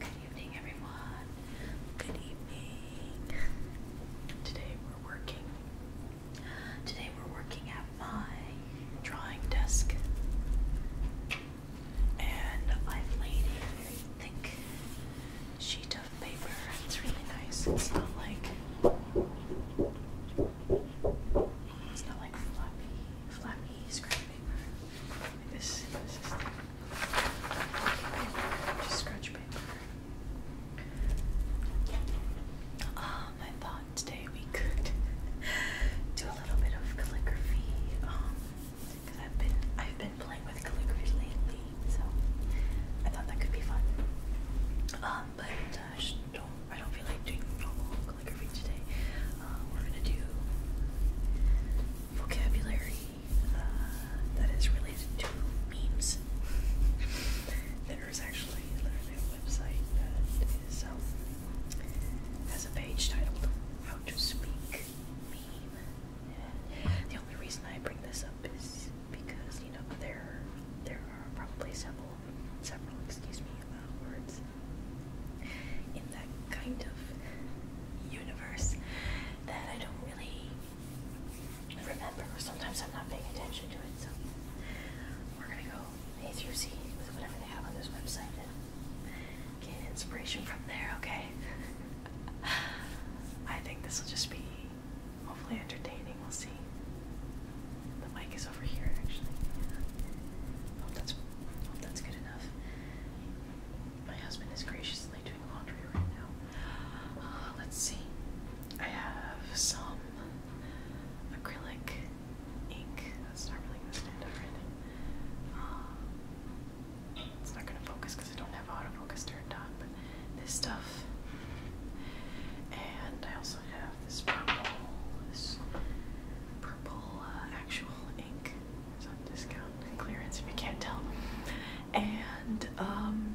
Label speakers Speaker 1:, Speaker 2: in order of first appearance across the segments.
Speaker 1: Good evening, everyone. Good evening. Today we're working. Today we're working at my drawing desk. And I've laid a very thick sheet of paper. It's really nice. It's not like it's not like floppy, floppy scrap paper. this, this is just scratch paper. Um, I thought today we could do a little bit of calligraphy. Um, because I've been I've been playing with calligraphy lately, so I thought that could be fun. Um, but uh, don't I don't feel like doing calligraphy today. Um, we're gonna do vocabulary uh, that is related to memes. there is actually literally a website that um, has a page titled "How to Speak Meme." And the only reason I bring this up is because you know there there are probably several several excuse me uh, words in that kind of universe that I don't really remember. Sometimes I'm not paying attention to it, so we're gonna go A through Z with whatever they have on this website and get inspiration from there. Okay. I think this will just be hopefully entertaining. We'll see. The mic is over here, actually. Hope that's hope that's good enough. My husband is graciously doing laundry right now. Uh, let's see. I have some acrylic ink. That's not really going to uh, it's not going to focus because I don't have autofocus turned on. But this stuff, and I also have this purple, this purple uh, actual ink. It's on discount and clearance if you can't tell. And um,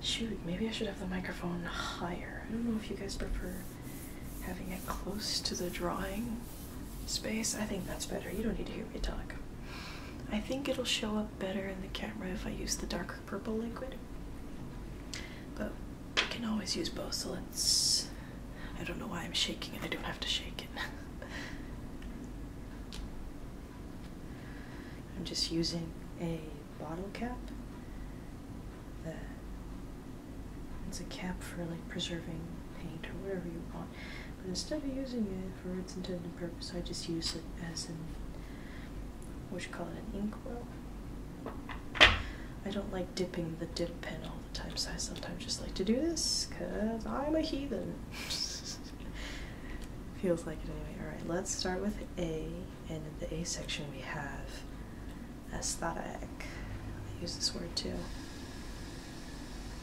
Speaker 1: shoot, maybe I should have the microphone higher. I don't know if you guys prefer having it close to the drawing space. I think that's better. You don't need to hear me talk. I think it'll show up better in the camera if I use the darker purple liquid. But we can always use both, so let's. I don't know why I'm shaking it, I don't have to shake it. I'm just using a bottle cap. That it's a cap for like preserving paint or whatever you want. But instead of using it for its intended purpose, I just use it as an what you call it, an inkwell. I don't like dipping the dip pen all the time, so I sometimes just like to do this because I'm a heathen. Feels like it anyway. Alright, let's start with A, and in the A section we have aesthetic. I use this word too.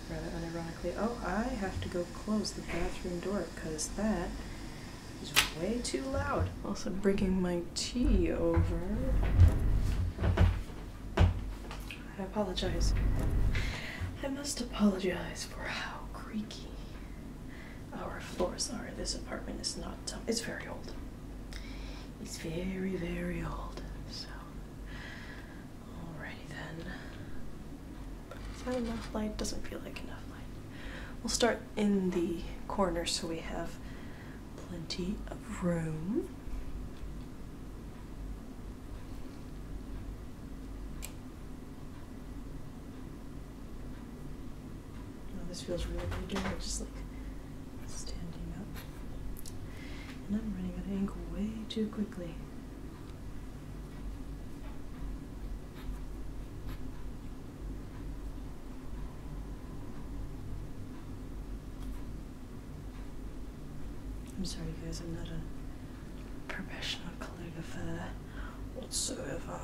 Speaker 1: Rather unironically, oh, I have to go close the bathroom door because that it's way too loud. Also bringing my tea over. I apologize. I must apologize for how creaky our floors are. This apartment is not, um, it's very old. It's very, very old. So, alrighty then. But enough light? Doesn't feel like enough light. We'll start in the corner so we have plenty of room. this feels really good. I just like standing up. And I'm running at an angle way too quickly. I'm sorry guys, I'm not a professional calligrapher whatsoever.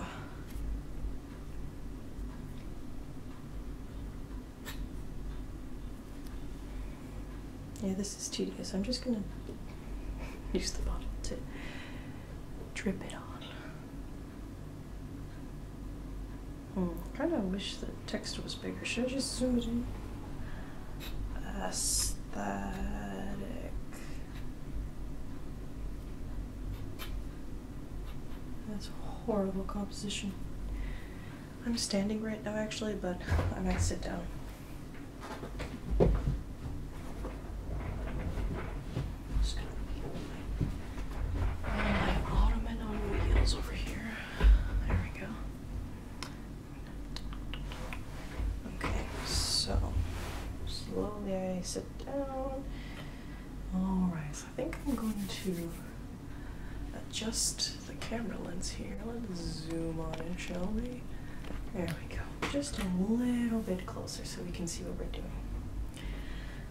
Speaker 1: Yeah, this is tedious. I'm just gonna use the bottle to drip it on. Hmm, kind of wish the text was bigger. Should I just zoom it in? Aesthetic. That's horrible composition. I'm standing right now actually, but I might sit down. Just gonna put my ottoman on wheels over here. There we go. Okay, so slowly I sit down. Alright, so I think I'm going to adjust the camera lens here. Let's zoom on in, shall we? There we go. Just a little bit closer so we can see what we're doing.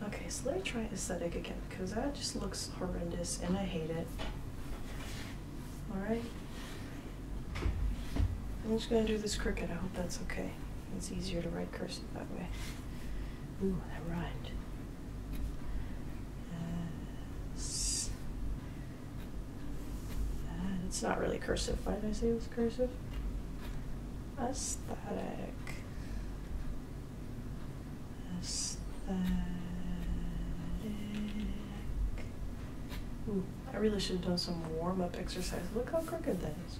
Speaker 1: Okay, so let me try aesthetic again because that just looks horrendous and I hate it. Alright. I'm just going to do this crooked. I hope that's okay. It's easier to write cursive that way. Ooh, that rhymed. Uh, uh, it's not really cursive. Why did I say it was cursive? Aesthetic. Aesthetic. Ooh, I really should have done some warm-up exercise. Look how crooked that is.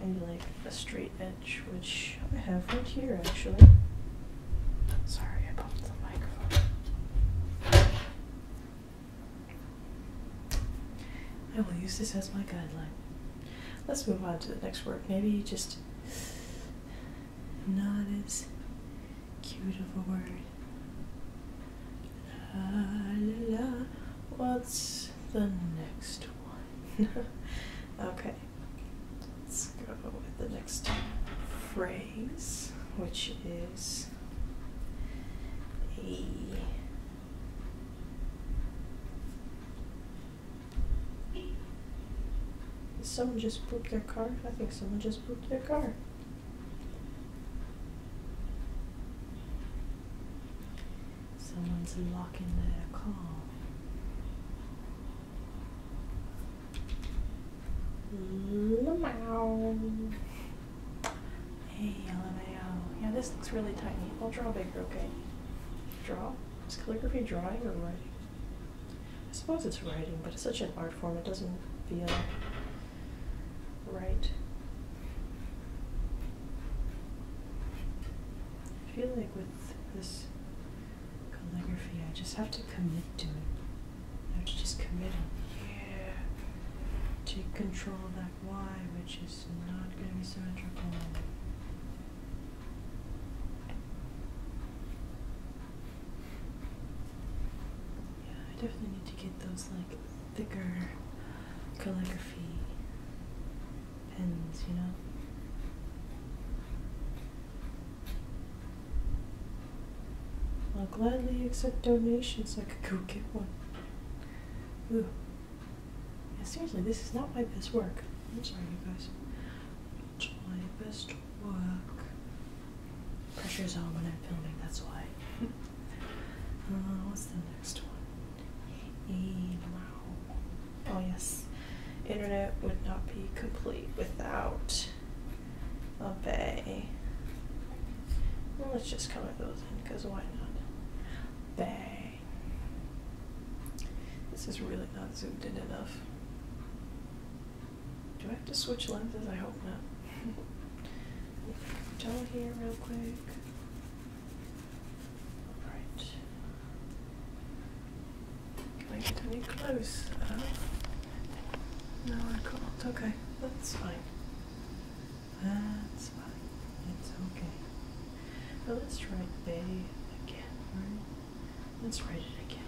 Speaker 1: Maybe like a straight edge, which I have right here actually. Sorry, I bumped the microphone. I will use this as my guideline. Let's move on to the next word. Maybe just not as cute of a word. La, la, la. What's the next one? okay, let's go with the next phrase, which is a someone just pooped their car? I think someone just pooped their car. Someone's locking their car. Hey, I Wow. Um, yeah, this looks really tiny. I'll draw bigger, okay? Draw? Is calligraphy drawing or writing? I suppose it's writing, but it's such an art form, it doesn't feel right. I feel like with this calligraphy, I just have to commit to it. I have to just commit it. Yeah. Take control that Y, which is is not going to be symmetrical. Yeah, I definitely need to get those like thicker calligraphy pens, you know? I'll gladly accept donations. I could go get one. And seriously, this is not my best work. I'm sorry, you guys. It's my best work. Pressure is on when I'm filming, that's why. uh, what's the next one? Allow. Oh, yes. Internet would not be complete without obey. Well, let's just it those in, because why not? Bay. This is really not zoomed in enough. Do I have to switch lenses? I hope not. Tell here real quick. Alright. Can I get any close? Uh, no, I can't. Okay, that's fine. That's fine. It's okay. But let's write they again, right? Let's write it again.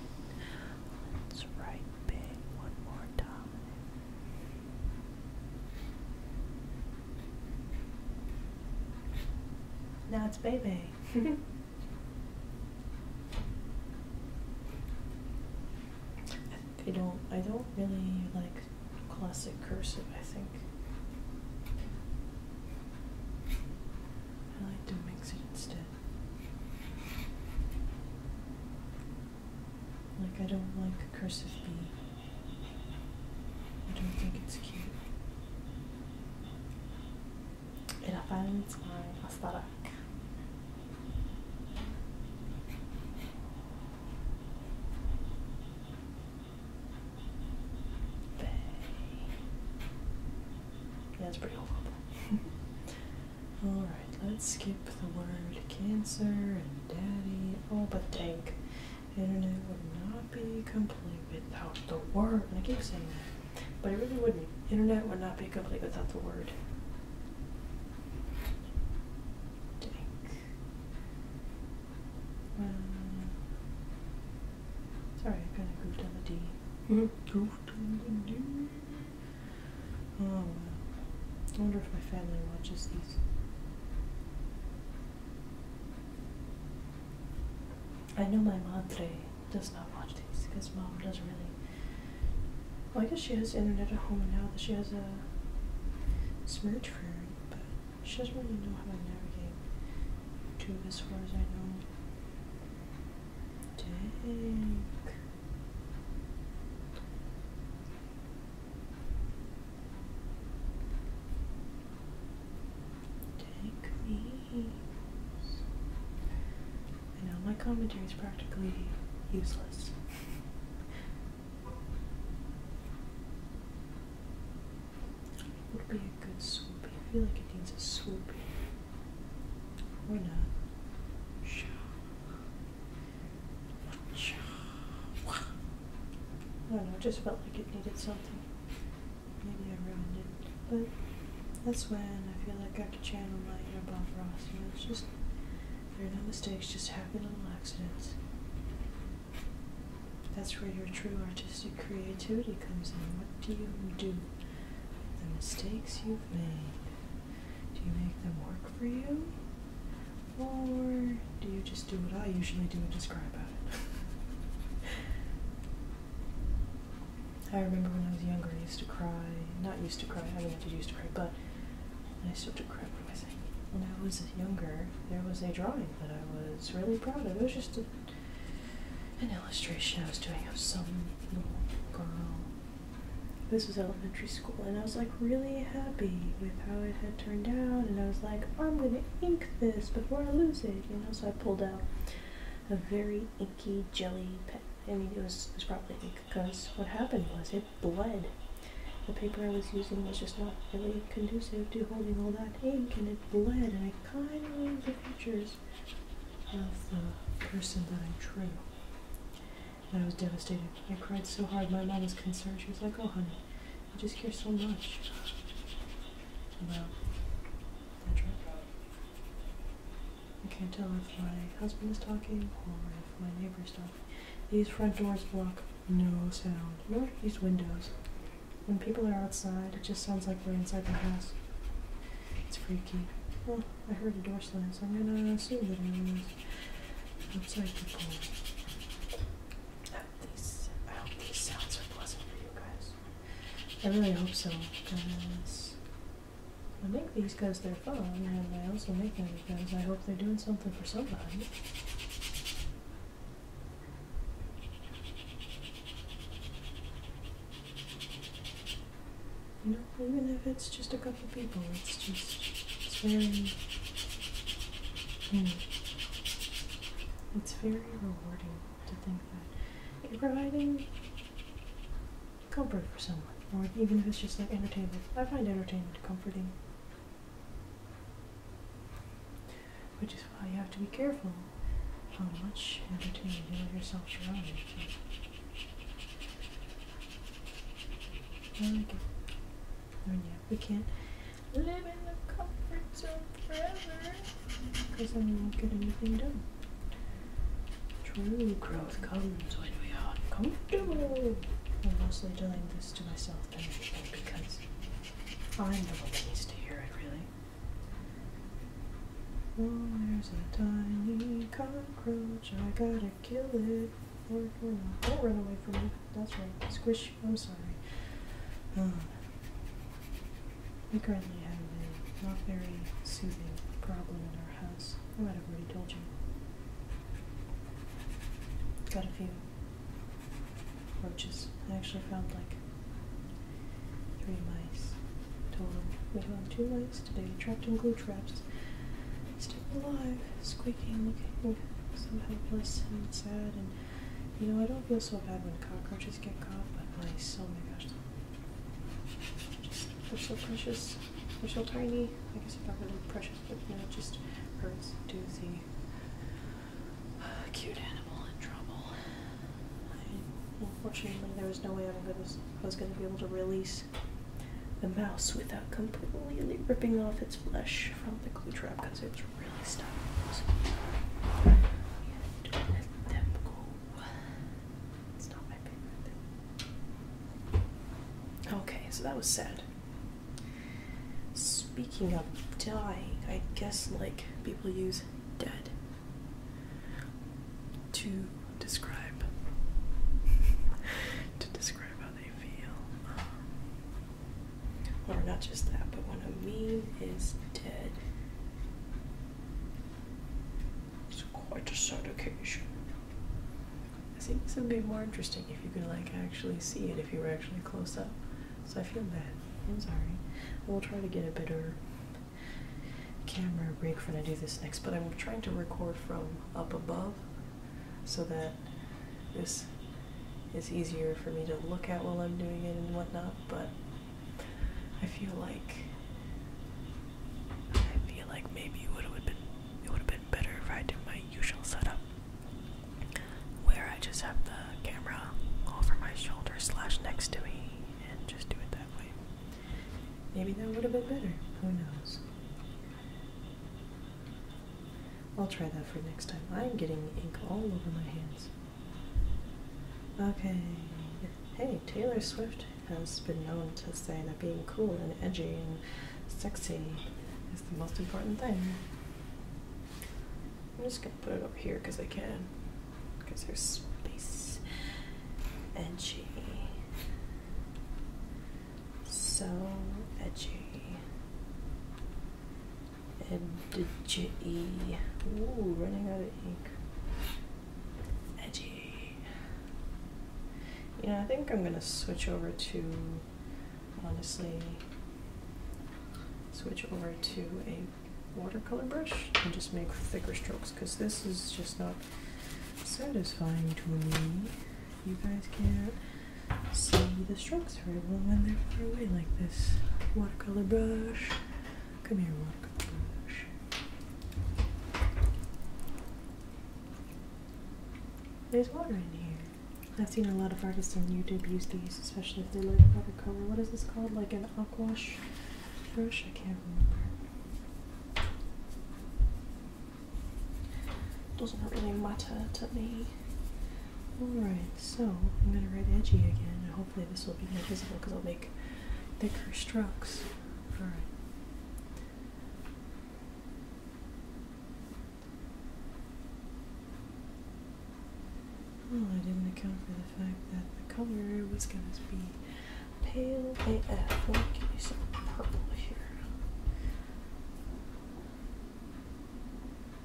Speaker 1: Let's write big one more time. Now it's baby. I don't I don't really like classic cursive, I think. I like to mix it instead. Like, I don't like cursive B. I don't think it's cute. And I find it's my أصدرك that's pretty horrible. Alright, let's skip the word cancer and daddy. Oh, but tank. internet would not be complete without the word. And I keep saying that, but it really wouldn't. Internet would not be complete without the word. Tank. Um, Sorry, I kind of mm-hmm. goofed on the D. Oh, wow. I wonder if my family watches these. I know my mom does not watch these because mom doesn't really. Well, I guess she has internet at home now that she has a smurf smartphone, but she doesn't really know how to navigate to as far as I know. Dang. Take me. I know my commentary is practically useless. It Would be a good swoopy. I feel like it needs a swoopy. Or not. I don't know, it just felt like it needed something. Maybe I ruined it. But that's when I feel like I could channel my inner Bob Ross. You know, it's just, there are no mistakes, just happy little accidents. That's where your true artistic creativity comes in. What do you do? The mistakes you've made. Do you make them work for you? Or do you just do what I usually do and just cry about it? I remember when I was younger, I used to cry. Not used to cry, I do mean, I did used to cry, but I still do cry. What am I saying? When I was younger, there was a drawing that I was really proud of. It was just an illustration I was doing of some little girl. This was elementary school, and I was like really happy with how it had turned out. And I was like, I'm gonna ink this before I lose it, you know. So I pulled out a very inky jelly pen. I mean, it was, was probably ink because what happened was it bled. The paper I was using was just not really conducive to holding all that ink, and it bled, and I kind of the features of the person that I drew. And I was devastated. I cried so hard. My mom was concerned. She was like, oh, honey, you just care so much about that trip. I can't tell if my husband is talking or if my neighbor is talking. These front doors block no sound, nor these windows. When people are outside, it just sounds like we're inside the house. It's freaky. Well, I heard a door slam, so I'm gonna assume that everyone is outside people. I hope, these, I hope these sounds are pleasant for you guys. I really hope so, because I make these because they're fun, and I also make them because I hope they're doing something for somebody. You know, even if it's just a couple people, it's just, it's very, hmm. it's very rewarding to think that you're providing comfort for someone, or even if it's just like entertainment. I find entertainment comforting which is why you have to be careful how much entertainment you let yourself around you. I like it. I yeah, we can't live in the comfort zone forever because then we won't get anything done. True growth comes when we are uncomfortable. I'm mostly doing this to myself anyway because I'm the one that needs to hear it, really. Oh, there's a tiny cockroach. I gotta kill it. Lord, Lord, don't run away from me. That's right. Squish. I'm sorry. Um, we currently have a not very soothing problem in our house. I might have already told you. Got a few roaches. I actually found like three mice total. We found two mice today, trapped in glue traps, still alive, squeaking, looking so helpless and sad. And you know, I don't feel so bad when cockroaches get caught, but mice, oh my gosh, just, they're so precious. They're so tiny. I guess I'm not really precious, but you know, it just hurts to see cute animal in trouble. unfortunately, there was no way i was going to be able to release the mouse without completely ripping off its flesh from the glue trap because it's really stuck. So, yeah, don't let them go. It's not my favorite thing. Okay, so that was sad. Speaking of dying, I guess like people use dead to describe to describe how they feel. Um, or not just that, but when a meme is dead, it's quite a sad occasion. I think this would be more interesting if you could like actually see it if you were actually close up. So I feel bad. I'm sorry. We'll try to get a better camera rig for when I do this next, but I'm trying to record from up above so that this is easier for me to look at while I'm doing it and whatnot, but I feel like I feel like maybe it would have been it would have been better if I did my usual setup where I just have the camera over my shoulder slash next to me and just do it that way. Maybe that would have been better. Who knows? I'll try that for next time. I'm getting ink all over my hands. Okay. Hey, Taylor Swift has been known to say that being cool and edgy and sexy is the most important thing. I'm just gonna put it up here because I can. Because there's space. Edgy. So edgy. Edgy. Ooh, running out of ink. Edgy. You know, I think I'm gonna switch over to, honestly, switch over to a watercolor brush and just make thicker strokes because this is just not satisfying to me. You guys can't see the strokes very well when they're far away like this. Watercolor brush. Come here, watercolor brush. There's water in here. I've seen a lot of artists on YouTube use these, especially if they like watercolor. What is this called? Like an aquash? brush, I can't remember. Doesn't really matter to me. Alright, so I'm going to write edgy again, and hopefully this will be more visible because I'll make thicker strokes. Alright. Well, I didn't account for the fact that the color was going to be pale AF. Well, give me some purple here.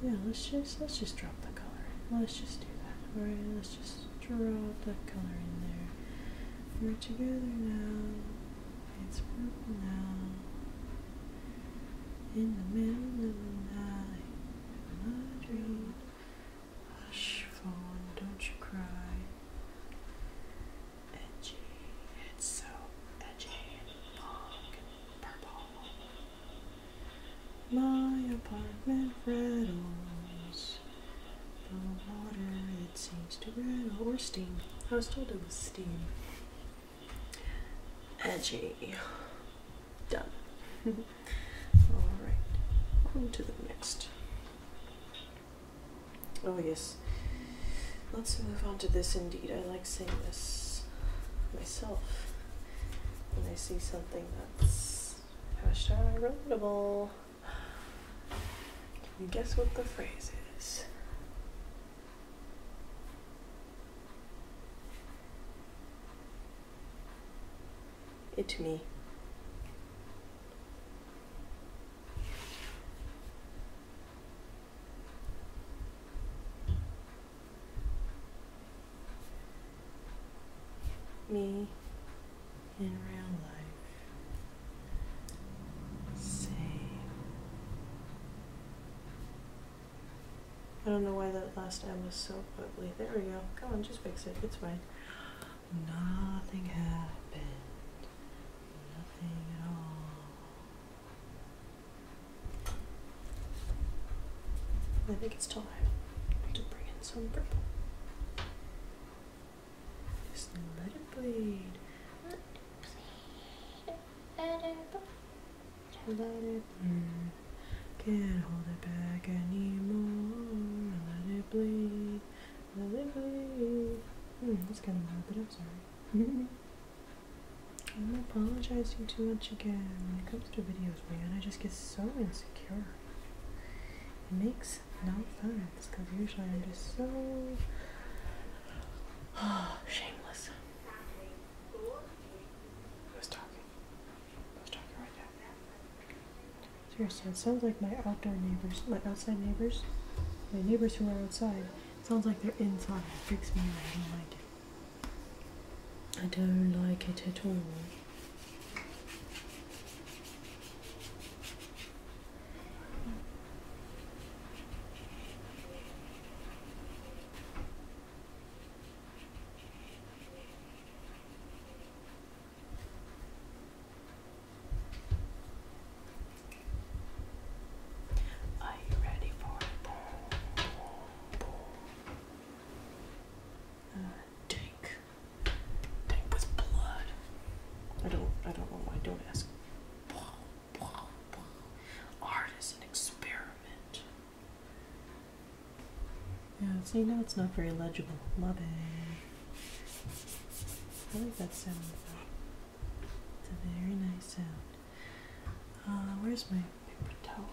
Speaker 1: Yeah, let's just let's just drop the color. Let's just do that. Alright, let's just drop that color in there. We're together now. It's purple now. In the middle of the night, my dreams. Hush, fawn, don't you cry. Edgy, it's so edgy and long purple. My apartment rattles. The water, it seems to rattle. Or steam. I was told it was steam. Edgy. Done. All right, on to the next. Oh, yes. Let's move on to this indeed. I like saying this myself when I see something that's hashtag relatable. Can you guess what the phrase is? it me me in real life same I don't know why that last M was so ugly there we go come on just fix it it's fine Nothing happened. Nothing at all. I think it's time to bring in some purple. Just let it bleed. Let it bleed. Let it bleed. Let it bleed. Can't hold it back anymore. Let it bleed. Let it bleed. Hmm, that's kind of loud, but I'm sorry. I'm apologizing too much again. When it comes to videos, man, I just get so insecure. It makes no sense because usually I'm just so shameless. I was talking. I was talking right now. Seriously, it sounds like my outdoor neighbors, my outside neighbors, my neighbors who are outside, sounds like they're inside. freaks me out. I don't like it. I don't like it at all. Are you ready for it? Uh, tank. with blood. I don't I don't know why don't ask. Art is an experiment. Yeah, so you know it's not very legible. Love it. I like that sound though. It's a very nice sound. Uh, where's my paper towel?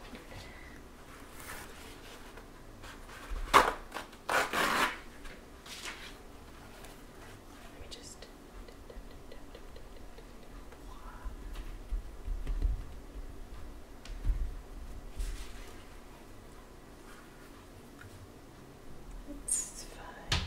Speaker 1: Let me just. It's fine.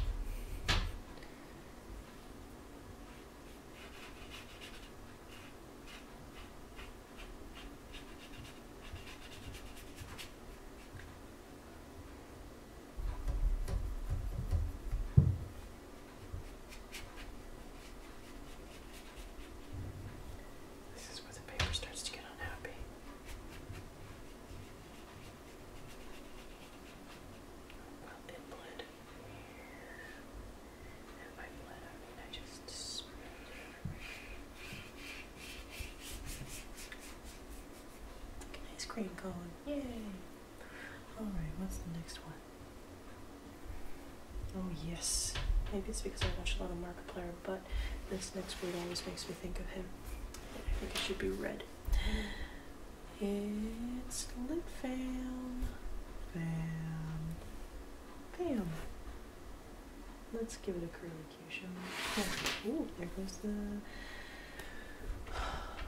Speaker 1: This is where the paper starts to get unhappy. Well, it bled And by bled, I I just spilled An ice cream cone. Yay! Alright, what's the next one? Oh, yes. Maybe it's because I watch a lot of Markiplier, but this next word always makes me think of him. I think it should be red. It's lit fam. Fam. Fam. Let's give it a curly Q, shall we? there goes the... There goes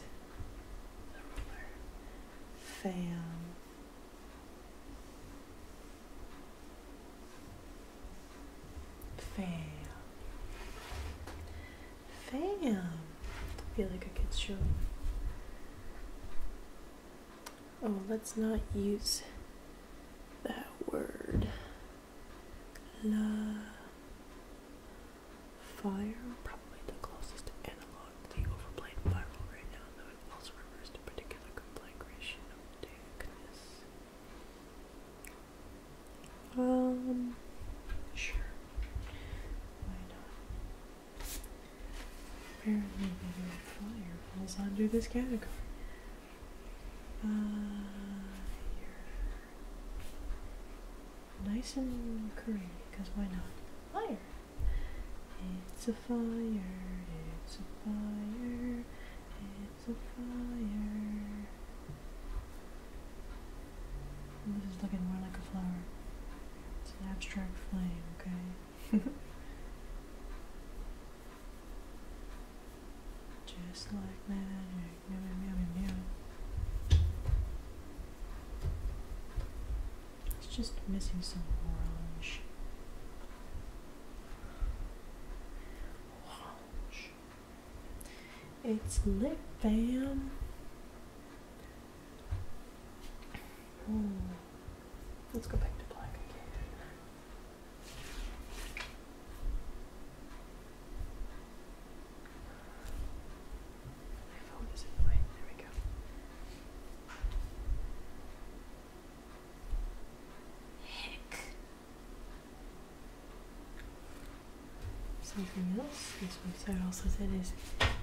Speaker 1: the ruler. Fam. Fam. Fam. I feel like I could show. Oh, let's not use that word. La fire, probably the closest analog to the overplayed viral right now, also refers to particular conflagration of darkness. Um, sure. Why not? Apparently, video falls under this category. Uh, nice and curly, because why not? Fire! It's a fire, it's a fire, it's a fire. this is looking more like a flower. It's an abstract flame, okay? Just like magic. Meow, meow, meow, It's just missing some orange. It's lip balm. Hmm. Let's go back to black again. My phone is in the way. There we go. Heck. Something else this website also said is pick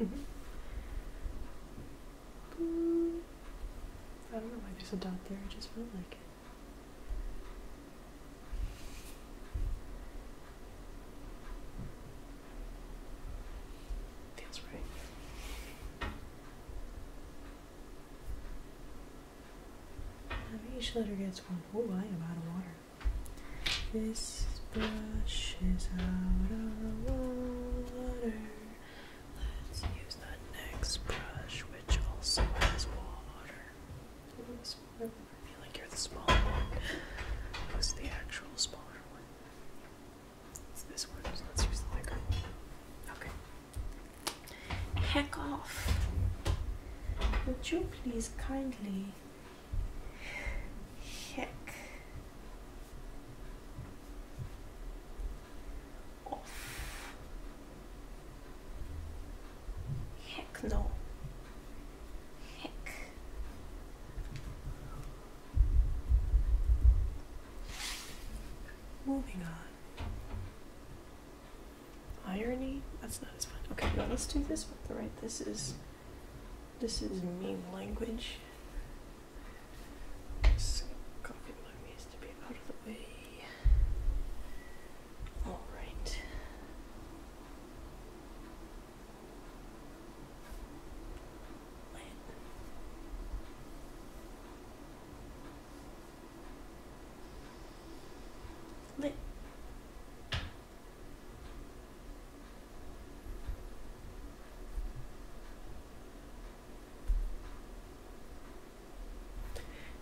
Speaker 1: I don't know why there's a dot there, I just felt like it. Feels right. Now each letter gets one whole line out of water. This brush is out of water. Let's use the next brush, which also has water. I feel like you're the smaller one. Who's the actual smaller one? It's this one, let's use the bigger Okay. Heck off. Would you please kindly heck off? Heck no. Heck. Moving on. Irony? That's not as fun. Okay, now let's do this one. Right, this is this is meme language. copy my means to be out of the way. All right.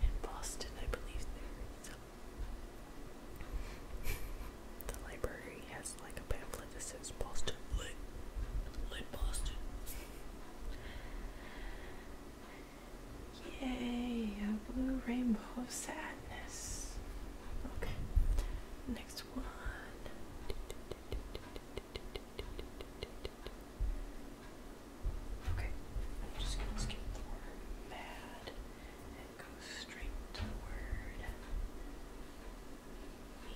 Speaker 1: In Boston, I believe there is a the library has like a pamphlet that says Boston Lit. Lit Boston. Yay, a blue rainbow of sadness. Okay, next one. Okay, I'm just gonna skip the mad and go straight to the word meme.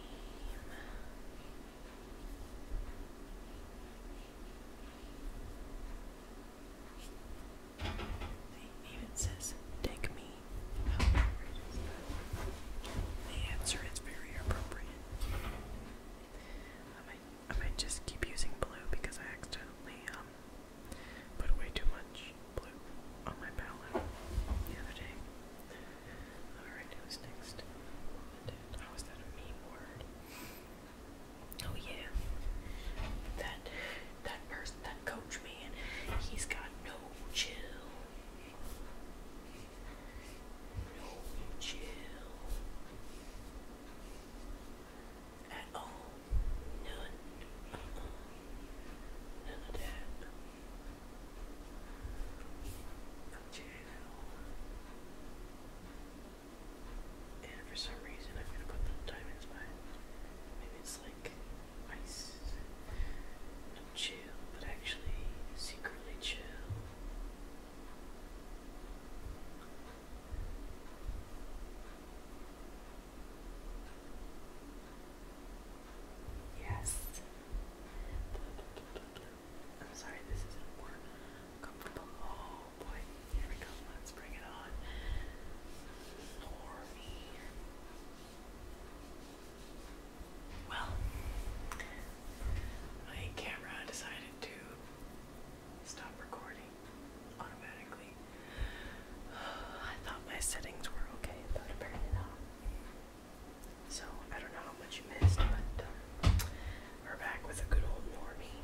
Speaker 1: They, even says, "Take me." How appropriate is that? The answer is very appropriate. I might, I might just keep using blue because I accidentally um put way too much blue on my palette the other day. Alright, who's next? How oh, that a mean word? Oh yeah. That that person that coach man, he's got no chill. No chill. At all. None. Uh None of that. Okay, And for some reason, I'm gonna put little diamonds by Maybe it's like ice. Not chill, but actually secretly chill. Yes. I'm sorry, this isn't comfortable. Oh here we go. Let's bring it on. For me. Well, my camera decided to stop recording automatically. I thought my settings were okay, but apparently not. So I don't know how much you missed, but uh, we're back with a good old normie.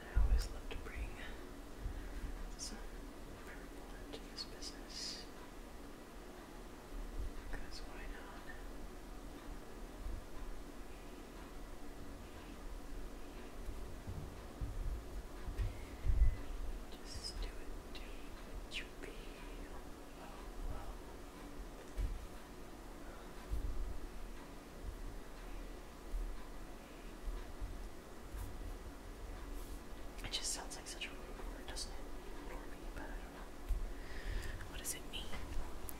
Speaker 1: I always love to bring some purple into this business. why not? it, just sounds like such a rude word, doesn't it? What does it mean?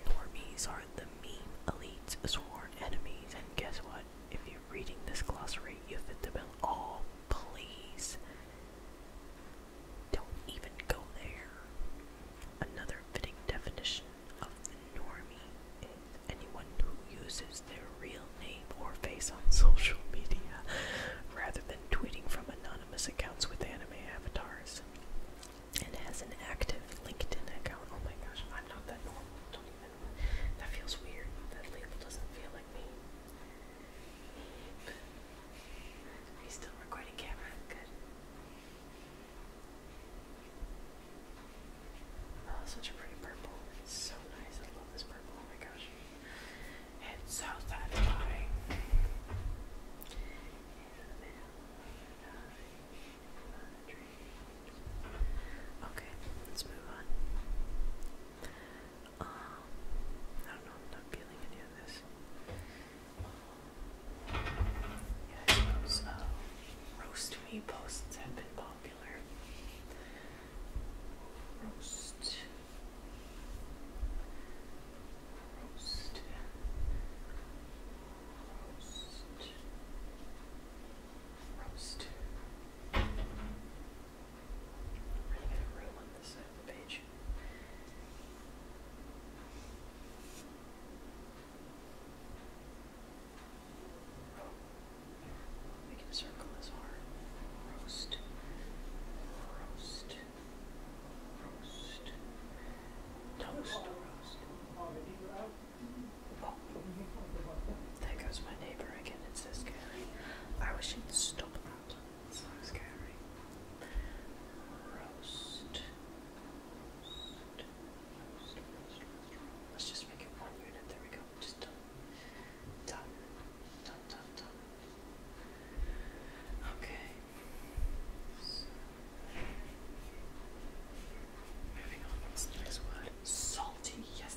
Speaker 1: Normies are the meme elite's sworn enemies, and guess what? If you're reading this glossary, you fit the bill all Please don't even go there. Another fitting definition of the normie is anyone who uses their real name or face on social media rather than tweeting from anonymous accounts with anime avatars and has an active LinkedIn account. Oh my gosh, I'm not that normal. That feels weird. That label doesn't feel like me. Are you still recording camera? Good. Oh, such a pretty purple. It's so nice. I love this purple. Oh my gosh. It's so satisfying. Okay, let's move on. Um, I don't know, I'm not feeling any of this. yeah, I uh, roast me posts have been popular. Roast. Roast. Roast. Roast. We can circle this arm. Roast. Roast. Roast. Toast. Roast. Oh. There goes my neighbor again. It's this guy. I wish you would stop god, so scary. Roast. Let's just make it one unit. There we go. Just done. Done. Done, done, Okay. Moving on. next word? Salty. Yes,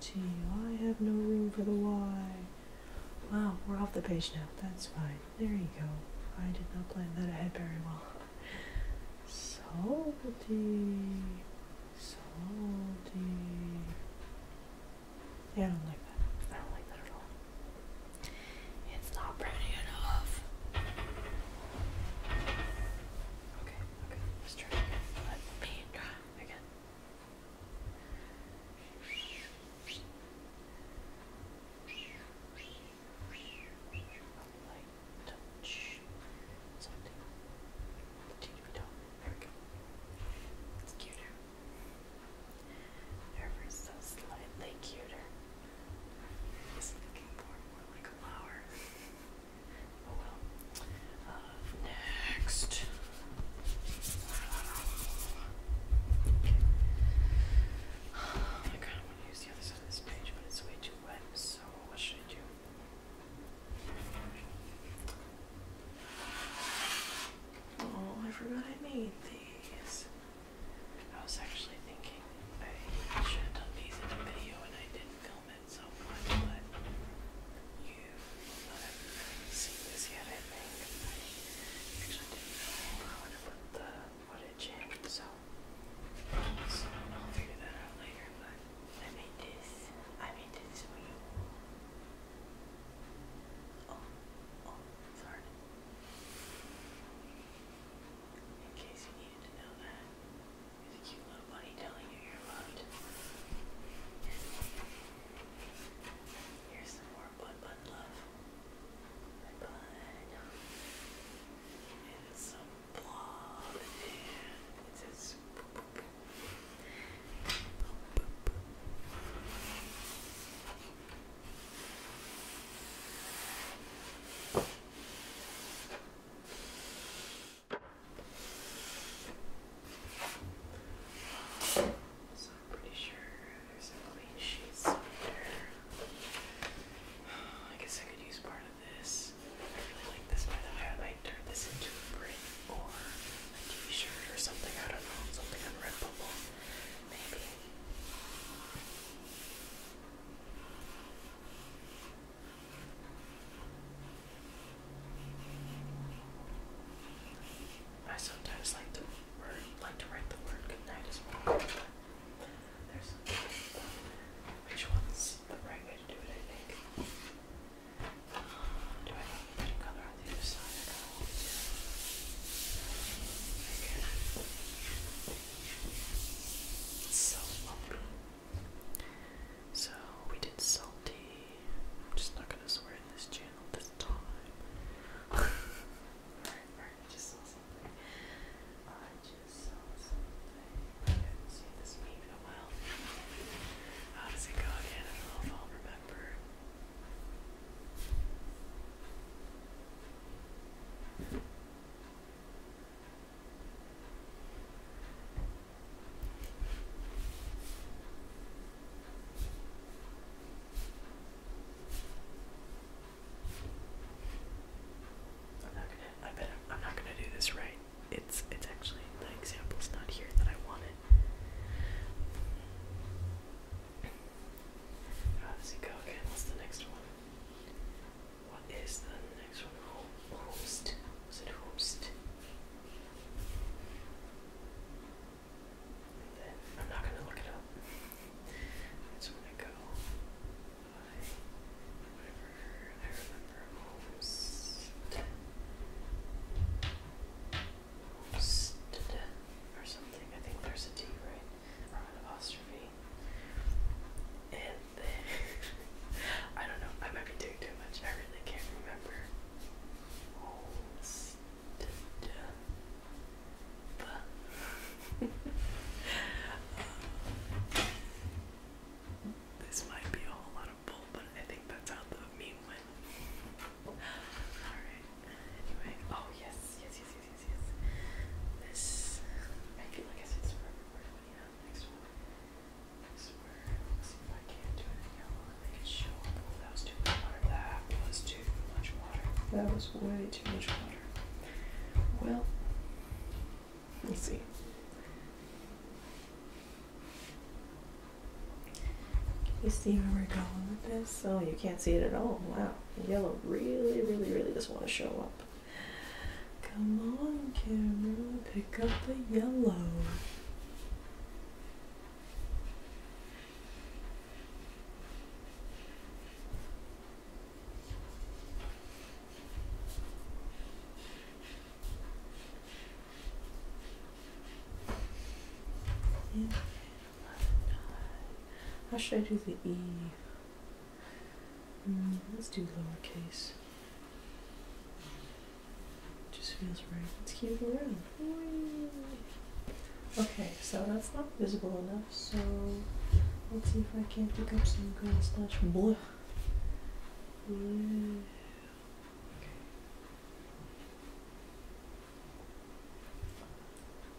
Speaker 1: T. I have no room for the Y. Wow, we're off the page now. That's fine. There you go. I did not plan that ahead very well. Salty. Salty. I don't like that. I don't like that at all. It's not pretty enough. Okay, okay. Let's try again. Let me try again light touch something. TV doll. There we go. It's cuter. Ever so slightly cuter. I was looking for more like a flower. oh well. Uh, Next. I kind of want to use the other side of this page, but it's way too wet, so what should I do? Oh, I forgot I made these. I was actually thinking I should have done these in a video and I didn't film it so much, I haven't seen this yet, I think. I actually didn't know how to put the footage in, so, I'll figure that out later, but I made this. I made this for you. Oh, oh, sorry. In case you needed to know that. There's a cute little bunny telling you you're loved. Here's some more Bun Bun Love. Bun Bun. And some blob. And it says boop, boop, boop. Boop, boop, boop. So I'm pretty sure there's some clean sheets somewhere. I guess I could use part of this. I really like this by the way. I might turn this into a print or a t-shirt or something. I don't know. Something on Maybe. I sometimes like to like to write the word goodnight as well. There's which one's the right way to do it, I think. Do I have a color on the other side? I It's so lumpy. So we did salty. I'm just not gonna swear in this channel this time. I just saw something. I just saw something. I haven't seen this meme in a while. How does it go again? I don't remember. I'm not gonna. I bet I'm, not gonna do this right. It's it's actually the example's not here that I wanted. How does it go again? What's the next one? What is the next one? Ho- Was it homest? I'm not gonna look it up. It's when I go. I whenever I remember homestead, or something. I think there's a t right? apostrophe. And then I don't know. I might be doing too much. I really can't remember. this might be a whole lot of bull, but I think that's how the meme went. Alright. Anyway. Oh yes, yes, yes, yes, yes, yes. This I feel like I said it's forever, but yeah, next one. Next word. Let's see if I can't do it in yellow. Make sure that was too much water. That was too much water. That was way too much water. Well, let's see. you see where we're going with this? Oh, you can't see it at all. Wow. Yellow really, really, really doesn't want to show up. Come on, camera. Pick up the yellow. Yeah. How should I do the E? Mm, let's do lowercase. It Just feels right. Let's keep it around. Okay, so that's not visible enough, so let's see if I can pick up some green slash blue.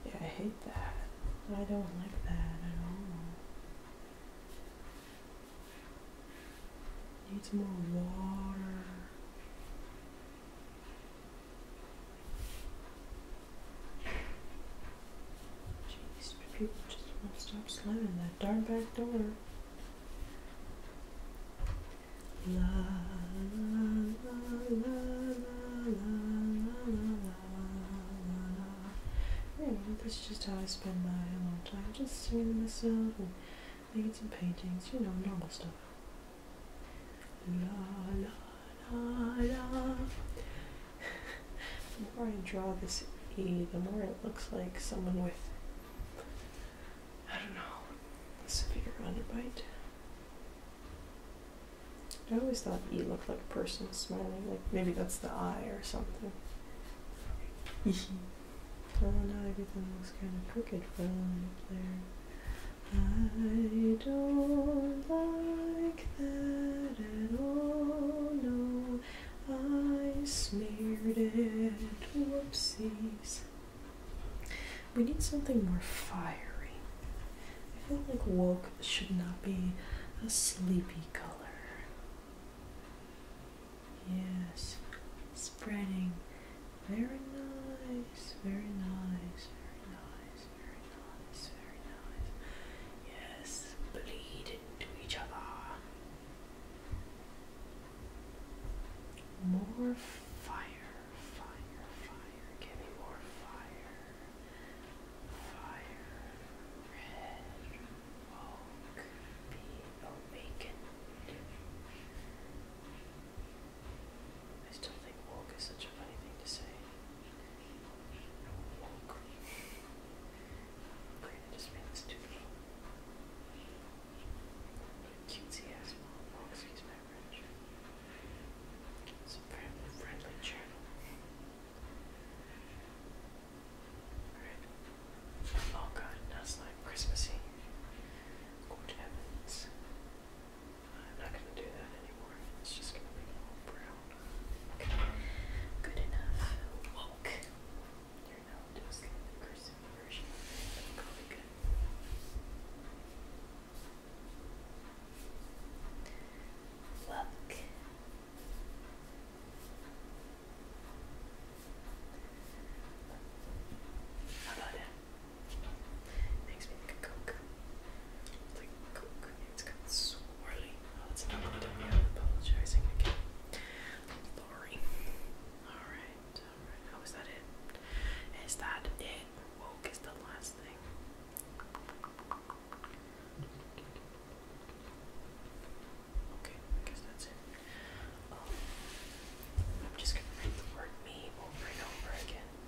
Speaker 1: Yeah, I hate that. I don't like that at all. Needs more water. Jeez, people just won't stop slamming that darn back door. La la la la la la la la. Anyway, this is just how I spend my time, just singing to myself and making some paintings, you know, normal stuff. the more I draw this E, the more it looks like someone with, I don't know, a severe underbite. I always thought E looked like a person smiling, like maybe that's the eye or something. Oh now everything looks kind of crooked for a line up there. I don't like that at all, no, I smeared it, whoopsies. We need something more fiery. I feel like woke should not be a sleepy color. Yes, spreading very nice, very nice, very nice, very nice, very nice. Yes, bleed into each other. More fire, fire, fire. Give me more fire. Fire. Red. Woke. Be awakened. I still think walk is such a funny thing to say. Woke. Great, just made this too Cutesy ass mom. excuse my French. It's friendly, friendly channel. Alright. Oh like Christmassy. Good heavens. I'm not going to do that anymore. It's just going to be all brown. Good enough. Woke. You're now just getting the cursive version. That'll probably good. Woke. How about it? Makes me think of Coke. It's like Coke. It's kind of swirly. Oh, it's not I'm apologizing again. Lori. Alright, alright. How is that it? Is that it? Woke is the last thing. Okay, guess that's it. Um, I'm just gonna read the word me over and over again.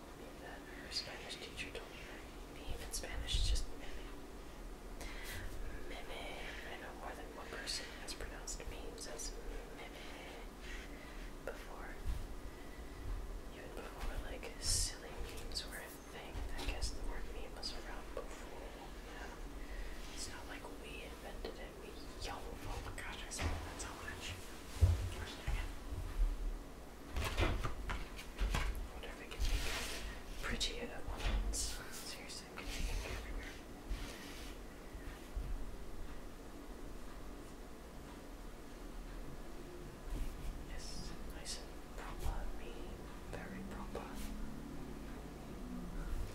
Speaker 1: told me that our Spanish teacher told me her in Spanish is just Meme. Meme. I know more than one person has pronounced memes as Meme before. Even before, like, silly memes were a thing, I guess the word meme was around before. Yeah. It's not like we invented it. We, yo, oh my gosh, I spent that so much. First again wonder at once. Yes, nice and proper, mean, very proper.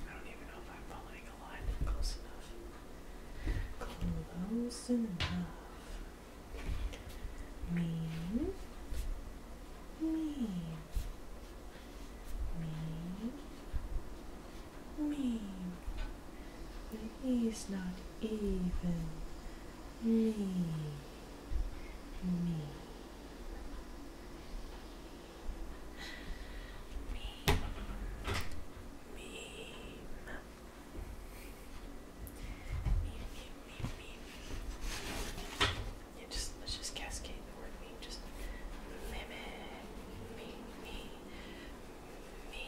Speaker 1: I don't even know if I'm following a line close enough. Close enough mean mean mean mean he's not even mean mean Meme just let's just cascade the word meme. Just mimic, me, me, me,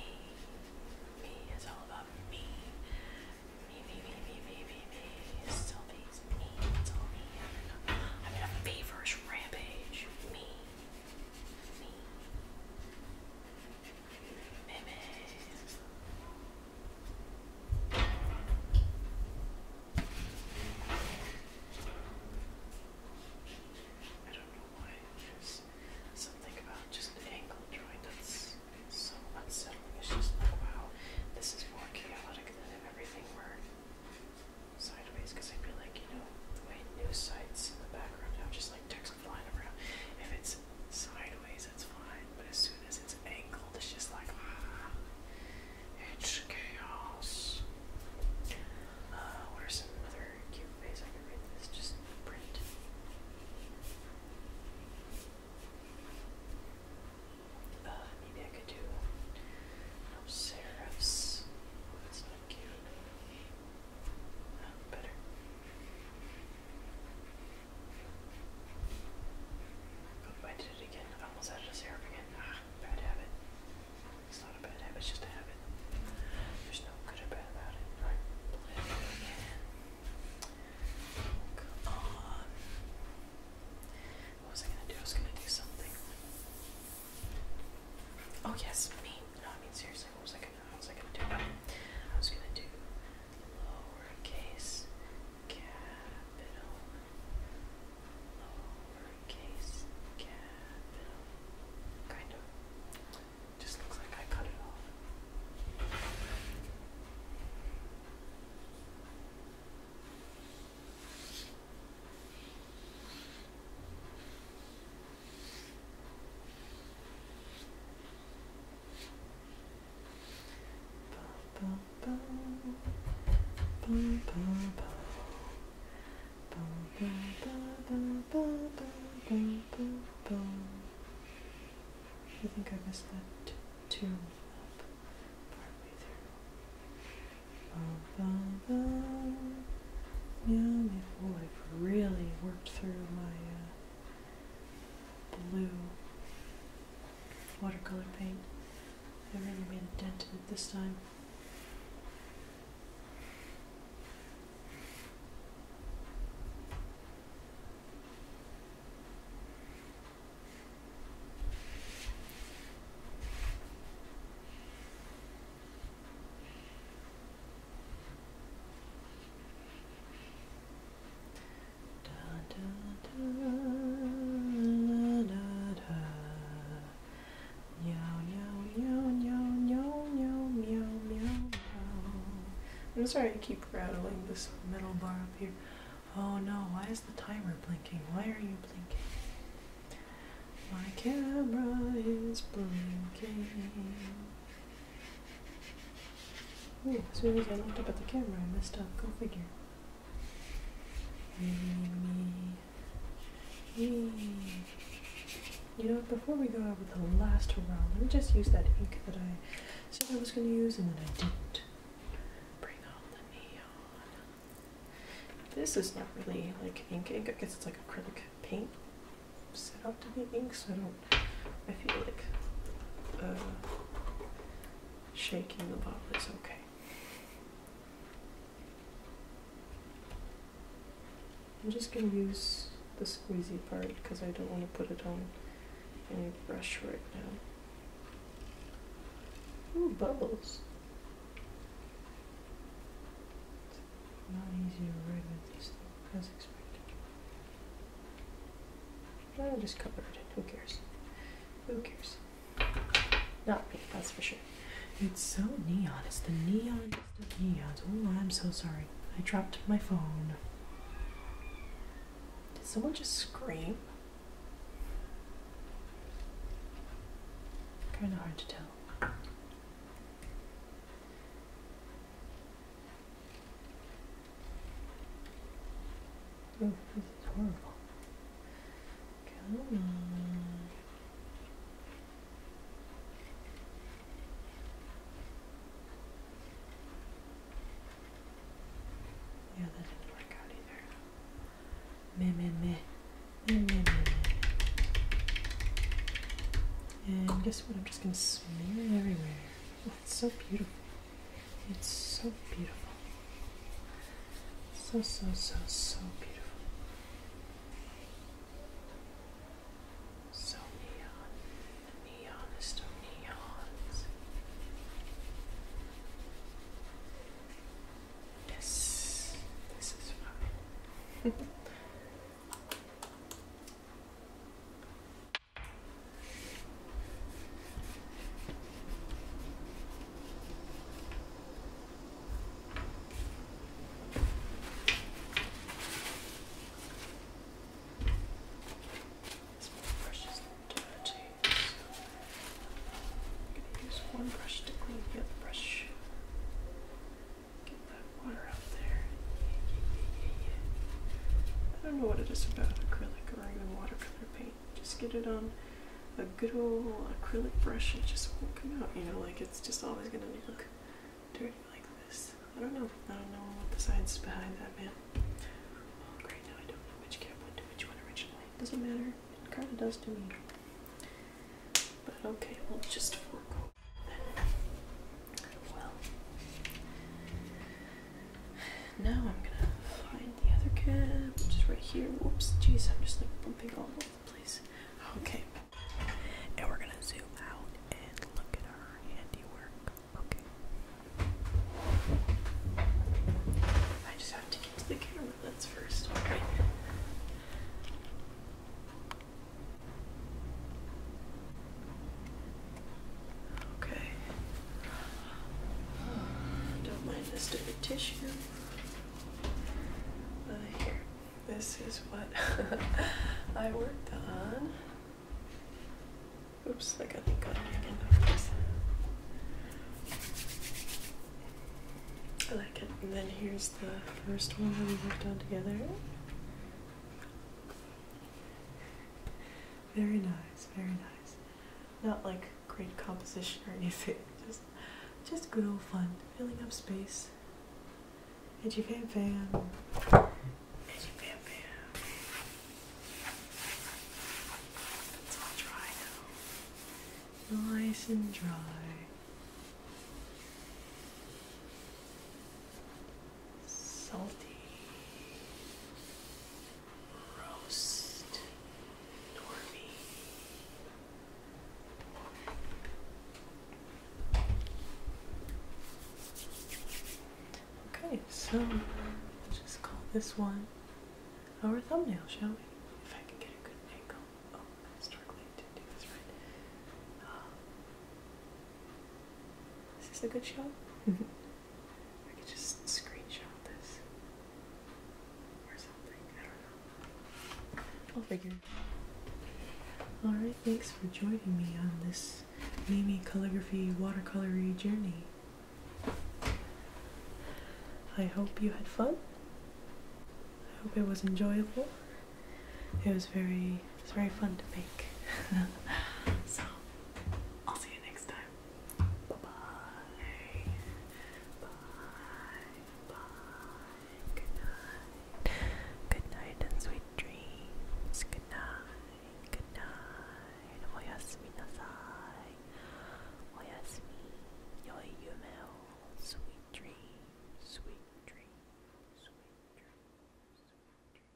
Speaker 1: me. It's all about me. Me, me, me, me, me, me, me. me. It's all me. I'm in a feverish rampage. Me, me. Meme. I don't know why there's something about just an angle drawing that's so unsettling. It's just like, wow, this is more chaotic than if everything were sideways. Because I feel like, you know, the way news sites in the background have just like text flying around, if it's sideways, is, fine. But as soon as it's angled, it's just like, ah, it's chaos. Uh, what cute ways I can read this? Just print. Uh, maybe I could do no serifs. Oh, that's not cute. Oh, better. Oh, I did it again. I almost had it a again. Ah, bad habit. It's not a bad habit, just a habit. There's no good or bad about it. Alright, Come on. What was I gonna do? I was gonna do something. Oh yes, me. No, I mean seriously, what was I gonna do? what was I gonna do? Oh, was gonna do lowercase capital, lowercase capital. Kind of. Just looks like I cut it off. I think I missed that two up partway um, really worked through my uh, blue watercolor paint. I really made a dent in it this time. I'm sorry I keep rattling this metal bar up here. Oh no, why is the timer blinking? Why are you blinking? My camera is blinking. Ooh, as soon as I looked up at the camera, I messed up. Go figure. Me, me, You know before we go out with the last round, let me just use that ink that I said I was going to use and then I didn't. Bring on the neon. This is not really like ink ink, I guess it's like acrylic paint set up to be ink, so I don't I feel like uh, shaking the bottle is okay. I'm just going to use the squeezy part because I don't want to put it on any brush right now. Ooh, bubbles. not easy to write with these things, as expected. I'll just cover it Who cares? Who cares? Not me, that's for sure. It's so neon. It's the neon. It's the neon. Oh, I'm so sorry. I dropped my phone. Did someone just scream? Kind of hard to tell. Oh, this is horrible. Come on. Yeah, that didn't work out either. Meh, meh, meh. Meh, meh, meh, And guess what? I'm just going to smear it everywhere. It's so beautiful. It's so beautiful. So, so, so, so beautiful. So neon. The neonest of Yes. This is fun. It's more brushes than dirty, so I'm going to use one brush to clean the other brush. Get that water out there. Yeah, yeah, yeah, yeah, yeah. I don't know what it is about acrylic or even watercolor. Just get it on a good old acrylic brush. It just won't come out. You know, like it's just always gonna look dirty like this. I don't know. I don't know what the science behind that, man. Well, oh, great. Now I don't know which cat went to which one originally. Doesn't matter. It kind of does to me. But okay, we'll just forego. Well, now I'm gonna find the other cab, which is right here. Whoops, jeez, I'm just like bumping all over the place. Okay. And we're gonna zoom out and look at our handiwork. Okay. I just have to get to the camera, that's first. Okay. Okay. Uh, don't mind this dirty tissue. Uh, here. This is what I worked on. Oops, I got the gun again. I like it. And then here's the first one that we worked on together. Very nice, very nice. Not like great composition or anything. Just just good old fun. Filling up space. Edgy fam fam. Edgy fam fam. It's all dry now. Nice and dry. Salty. Okay, so let's just call this one our thumbnail, shall we? If I can get a good angle. Oh, I'm struggling do this right. Ah. is this a good shot? I could just screenshot this or something. I don't know. I'll figure. Alright, thanks for joining me on this Mimi calligraphy watercolory journey. I hope you had fun. I hope it was enjoyable. It was very it's very fun to make. so I'll see you next time. Bye Good night. Good night and sweet dreams. Good night. Good night. Oyasumi oh, nasai. Oyasumi. Oh, Yoi yume o. Sweet dream. Sweet dream. Sweet dream. Sweet dream.